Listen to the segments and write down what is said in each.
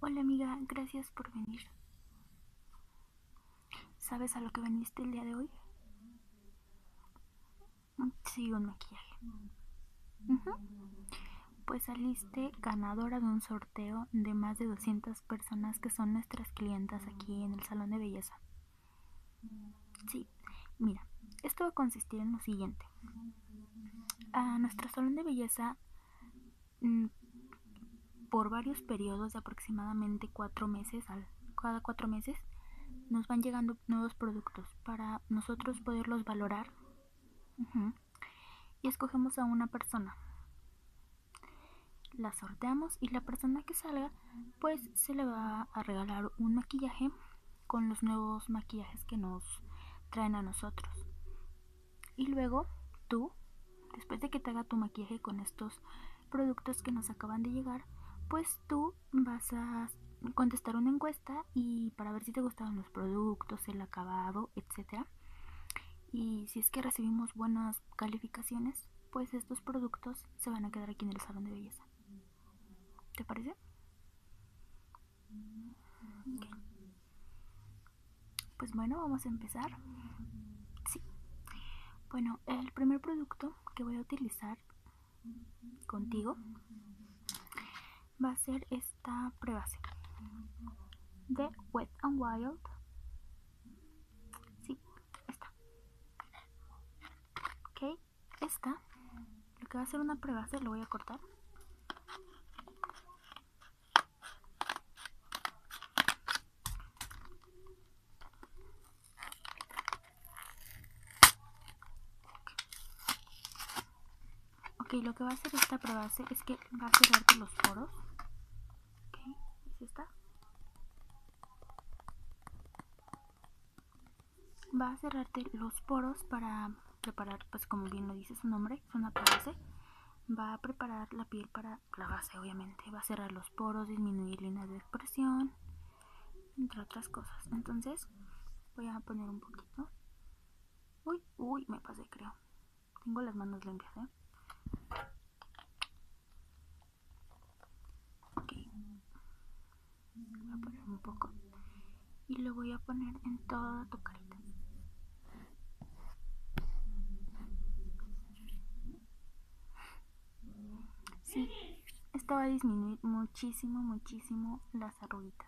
Hola amiga, gracias por venir. ¿Sabes a lo que veniste el día de hoy? Mm, sí, un maquillaje. Pues saliste ganadora de un sorteo de más de 200 personas que son nuestras clientas aquí en el salón de belleza. Sí, mira, esto va a consistir en lo siguiente. A nuestro salón de belleza Mm, por varios periodos de aproximadamente cuatro meses, al, cada cuatro meses, nos van llegando nuevos productos para nosotros poderlos valorar y escogemos a una persona. La sorteamos y la persona que salga pues se le va a regalar un maquillaje con los nuevos maquillajes que nos traen a nosotros. Y luego tú, después de que te haga tu maquillaje con estos productos que nos acaban de llegar, pues tú vas a contestar una encuesta y para ver si te gustaron los productos, el acabado, etcétera. Y si es que recibimos buenas calificaciones, pues estos productos se van a quedar aquí en el salón de belleza. ¿Te parece? Pues bueno, vamos a empezar. Sí. Bueno, el primer producto que voy a utilizar contigo va a ser esta prebase de Wet and Wild. Sí, está. Ok, esta. Lo que va a ser una prebase lo voy a cortar. Ok, lo que va a hacer esta probase es que va a cerrarte los poros. Ok, ahí está? Va a cerrarte los poros para preparar, pues como bien lo dice su nombre, es una va a preparar la piel para la base, obviamente. Va a cerrar los poros, disminuir líneas de expresión, entre otras cosas. Entonces, voy a poner un poquito. Uy, uy, me pasé, creo. Tengo las manos limpias, ¿eh? Ok. Voy a poner un poco. Y lo voy a poner en toda tu carita. Sí, esto va a disminuir muchísimo, muchísimo las arruguitas.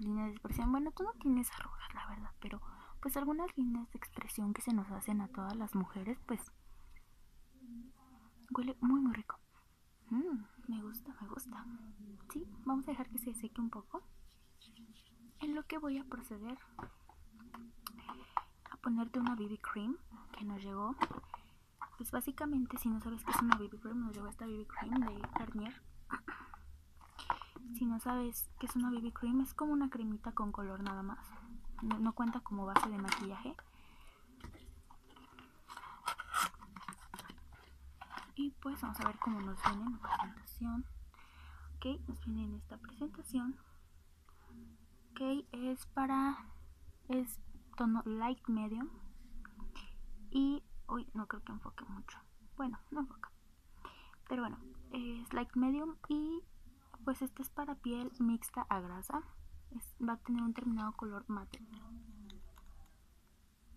Líneas de expresión, bueno, tú no tienes arrugas, la verdad, pero pues algunas líneas de expresión que se nos hacen a todas las mujeres, pues huele muy, muy rico. Mm, me gusta, me gusta. Sí, vamos a dejar que se seque un poco. En lo que voy a proceder a ponerte una BB cream que nos llegó. Pues básicamente, si no sabes qué es una BB cream, nos llegó esta BB cream de Garnier. Si no sabes que es una BB cream, es como una cremita con color nada más. no cuenta como base de maquillaje y pues vamos a ver cómo nos viene la presentación ok nos viene esta presentación ok es para es tono light medium y uy no creo que enfoque mucho bueno no enfoca pero bueno es light medium y pues este es para piel mixta a grasa va a tener un terminado color mate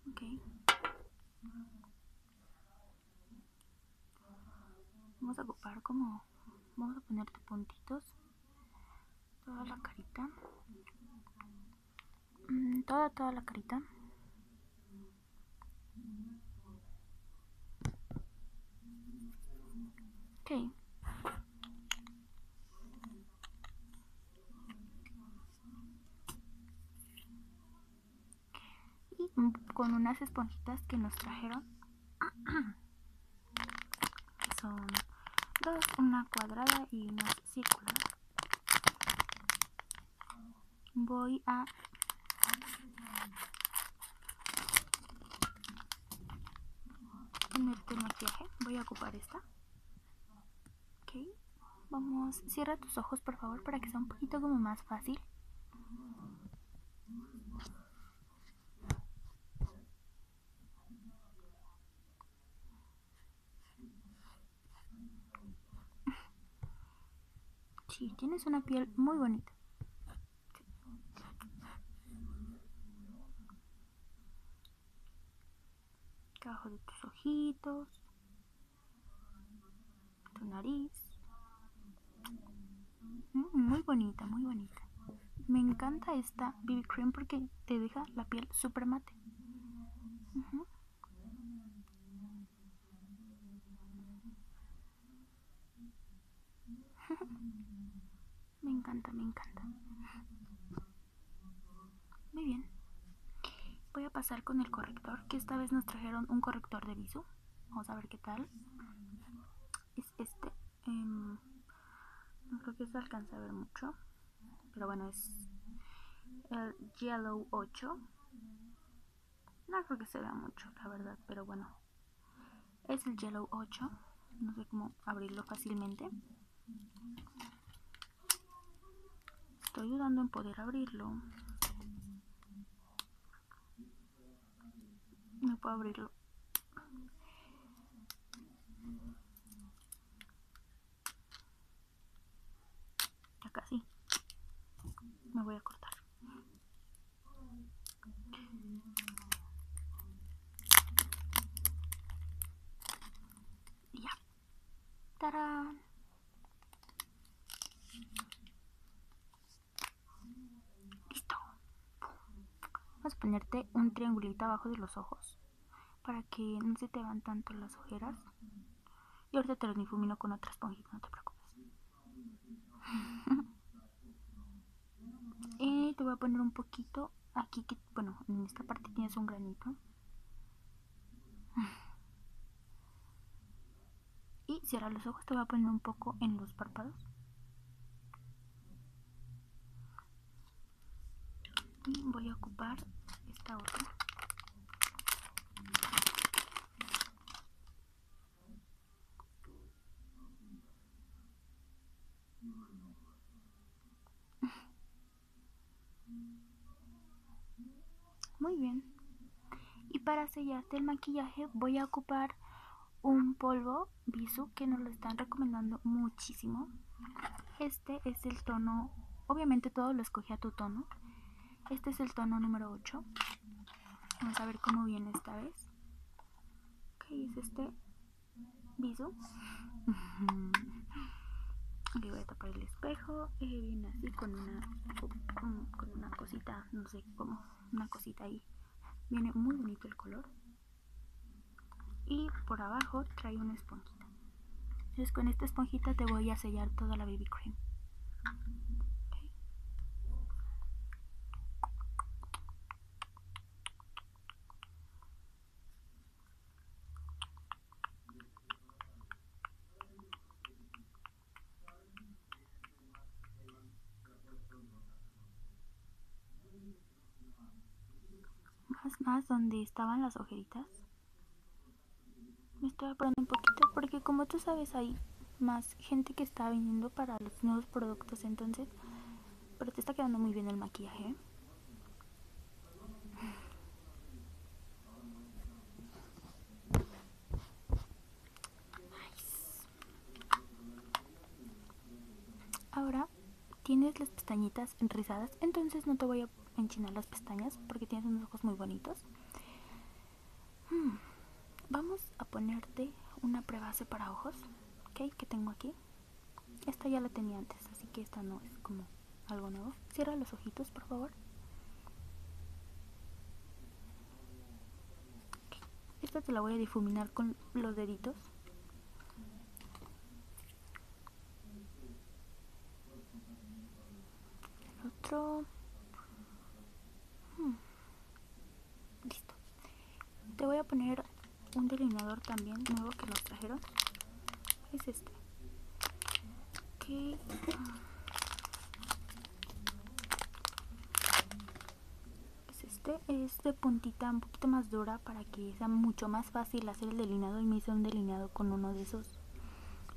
Ok. Vamos a ocupar como... Vamos a ponerte puntitos. Toda la carita. Mm, toda, toda la carita. Ok y con unas esponjitas que nos trajeron son dos una cuadrada y una circular voy a ponerte maquillaje voy a ocupar esta Ok, vamos, cierra tus ojos por favor para que sea un poquito como más fácil. Sí, tienes una piel muy bonita. Bajo de tus ojitos tu nariz. Mm, muy bonita, muy bonita. Me encanta esta BB Cream porque te deja la piel super mate. me encanta, me encanta. Muy bien. Voy a pasar con el corrector, que esta vez nos trajeron un corrector de viso Vamos a ver qué tal. Es este. Em, no creo que se alcance a ver mucho. Pero bueno, es el Yellow 8. No creo que se vea mucho, la verdad, pero bueno. Es el Yellow 8. No sé cómo abrirlo fácilmente estoy ayudando en poder abrirlo no puedo abrirlo acá casi me voy a cortar ya ¡Tarán! Listo. Vas a ponerte un triangulito abajo de los ojos para que no se te van tanto las ojeras. Y ahorita te los difumino con otra esponjita, no te preocupes. y te voy a poner un poquito aquí, que, bueno, en esta parte tienes un granito. Y cierra los ojos, te voy a poner un poco en los párpados. Y voy a ocupar esta otra. Muy bien. Y para sellarte el maquillaje voy a ocupar un polvo viso que nos lo están recomendando muchísimo. Este es el tono, obviamente todo lo escogí a tu tono. Este es el tono número 8. Vamos a ver cómo viene esta vez. ¿Qué es este Bisu. Aquí voy a tapar el espejo viene eh, así con una, con, una cosita, no sé cómo, una cosita ahí. Viene muy bonito el color. Y por abajo trae una esponjita. Entonces con esta esponjita te voy a sellar toda la baby cream. Más, más, donde estaban las ojeritas. Me estoy apurando un poquito porque como tú sabes hay más gente que está viniendo para los nuevos productos, entonces... Pero te está quedando muy bien el maquillaje. ¿eh? Ahora tienes las pestañitas rizadas, entonces no te voy a enchinar las pestañas porque tienes unos ojos muy bonitos. Hmm, vamos a ponerte una prebase para ojos, ¿ok? Que tengo aquí. Esta ya la tenía antes, así que esta no es como algo nuevo. Cierra los ojitos, por favor. Esta te la voy a difuminar con los deditos. El otro. Hmm. Listo. Te voy a poner un delineador también nuevo que nos trajeron. Es este. Pues este es de puntita un poquito más dura para que sea mucho más fácil hacer el delineado y me hice un delineado con uno de esos.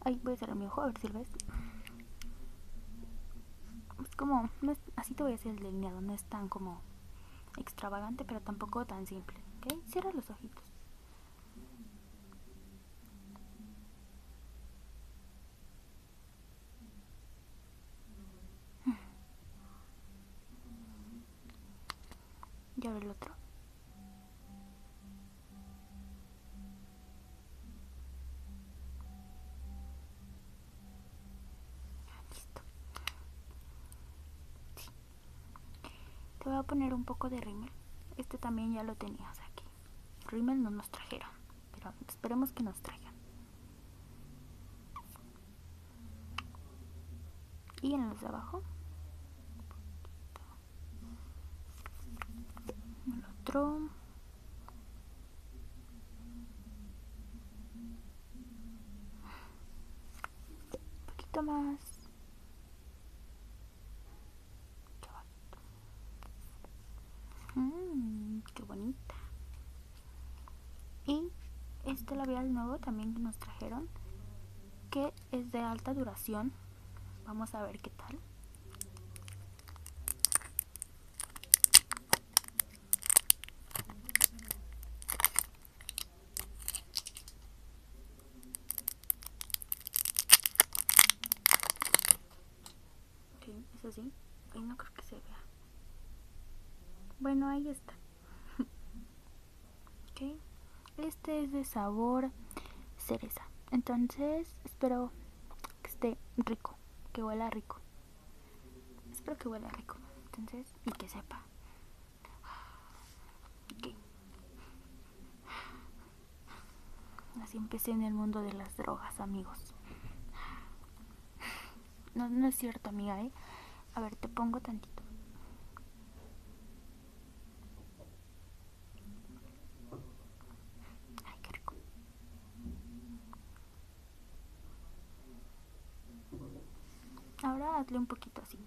Ahí voy a cerrar mi ojo a ver si lo ves. Es como, así te voy a hacer el delineado, no es tan como extravagante, pero tampoco tan simple. Cierra los ojitos. Mm. Y ahora el otro. Ah, Te voy a poner un poco de rímel. Este también ya lo tenías aquí. Rimmel no nos trajeron, pero esperemos que nos traigan. Y en los de abajo. El otro. Un poquito más. Mm, qué bonita. Y este labial nuevo también que nos trajeron, que es de alta duración. Vamos a ver qué tal. Ok, es así. Ahí no creo que se vea. Bueno, ahí está. ok. Este es de sabor cereza. Entonces, espero que esté rico, que huela rico. Espero que huela rico. Entonces, y que sepa. Okay. Así empecé en el mundo de las drogas, amigos. No, es cierto, amiga, ¿eh? A ver, te pongo tantito. Ay, qué rico. Ahora hazle un poquito así.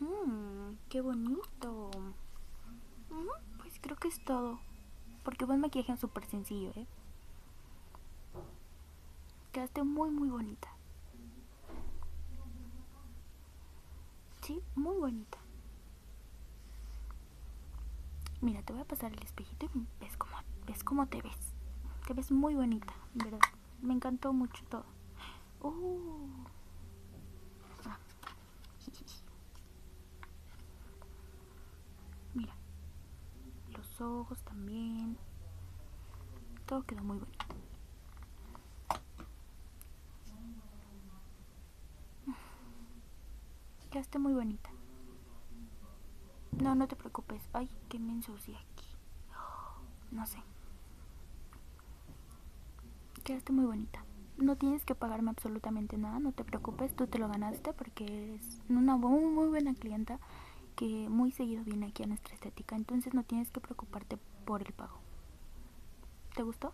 Mm, ¡Qué bonito! pues creo que es todo. Porque vos maquillaje es súper sencillo, ¿eh? Quedaste muy, muy bonita. Sí, muy bonita. Mira, te voy a pasar el espejito y ves como ves cómo te ves. Te ves muy bonita, ¿verdad? Me encantó mucho todo. ¡Uh! Ah. Mira, los ojos también. Todo quedó muy bonito. Quedaste muy bonita. No, no te preocupes. Ay, qué me ensucié aquí. No sé. Quedaste muy bonita. No tienes que pagarme absolutamente nada, no te preocupes, tú te lo ganaste porque es una muy, muy buena clienta que muy seguido viene aquí a nuestra estética, entonces no tienes que preocuparte por el pago. ¿Te gustó?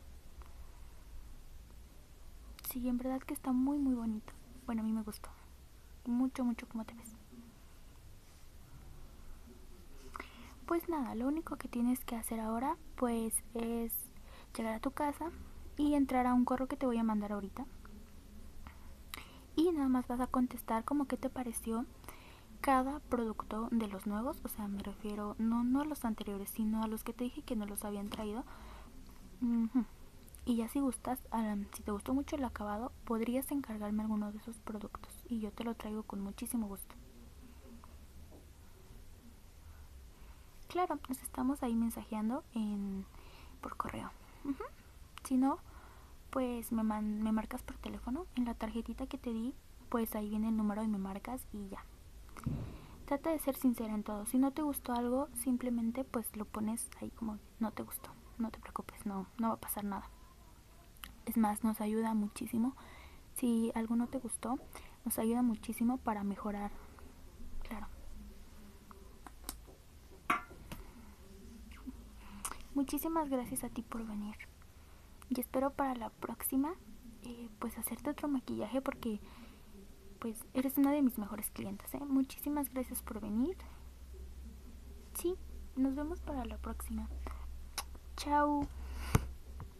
Sí, en verdad que está muy muy bonito. Bueno, a mí me gustó. Mucho, mucho como te ves. Pues nada, lo único que tienes que hacer ahora pues es llegar a tu casa y entrar a un correo que te voy a mandar ahorita. Y nada más vas a contestar como que te pareció cada producto de los nuevos, o sea, me refiero no, no a los anteriores, sino a los que te dije que no los habían traído. Y ya si gustas, si te gustó mucho el acabado, podrías encargarme alguno de esos productos y yo te lo traigo con muchísimo gusto. Claro, nos estamos ahí mensajeando por correo. Si no, pues me, marcas por teléfono. En la tarjetita que te di, pues ahí viene el número y me marcas y ya. Trata de ser sincera en todo. Si no te gustó algo, simplemente pues lo pones ahí como no te gustó. No te preocupes, no va a pasar nada. Es más, nos ayuda muchísimo. Si algo no te gustó, nos ayuda muchísimo para mejorar. Claro. Muchísimas gracias a ti por venir. Y espero para la próxima eh, pues hacerte otro maquillaje porque pues eres una de mis mejores clientes. ¿eh? Muchísimas gracias por venir. Sí, nos vemos para la próxima. Chao.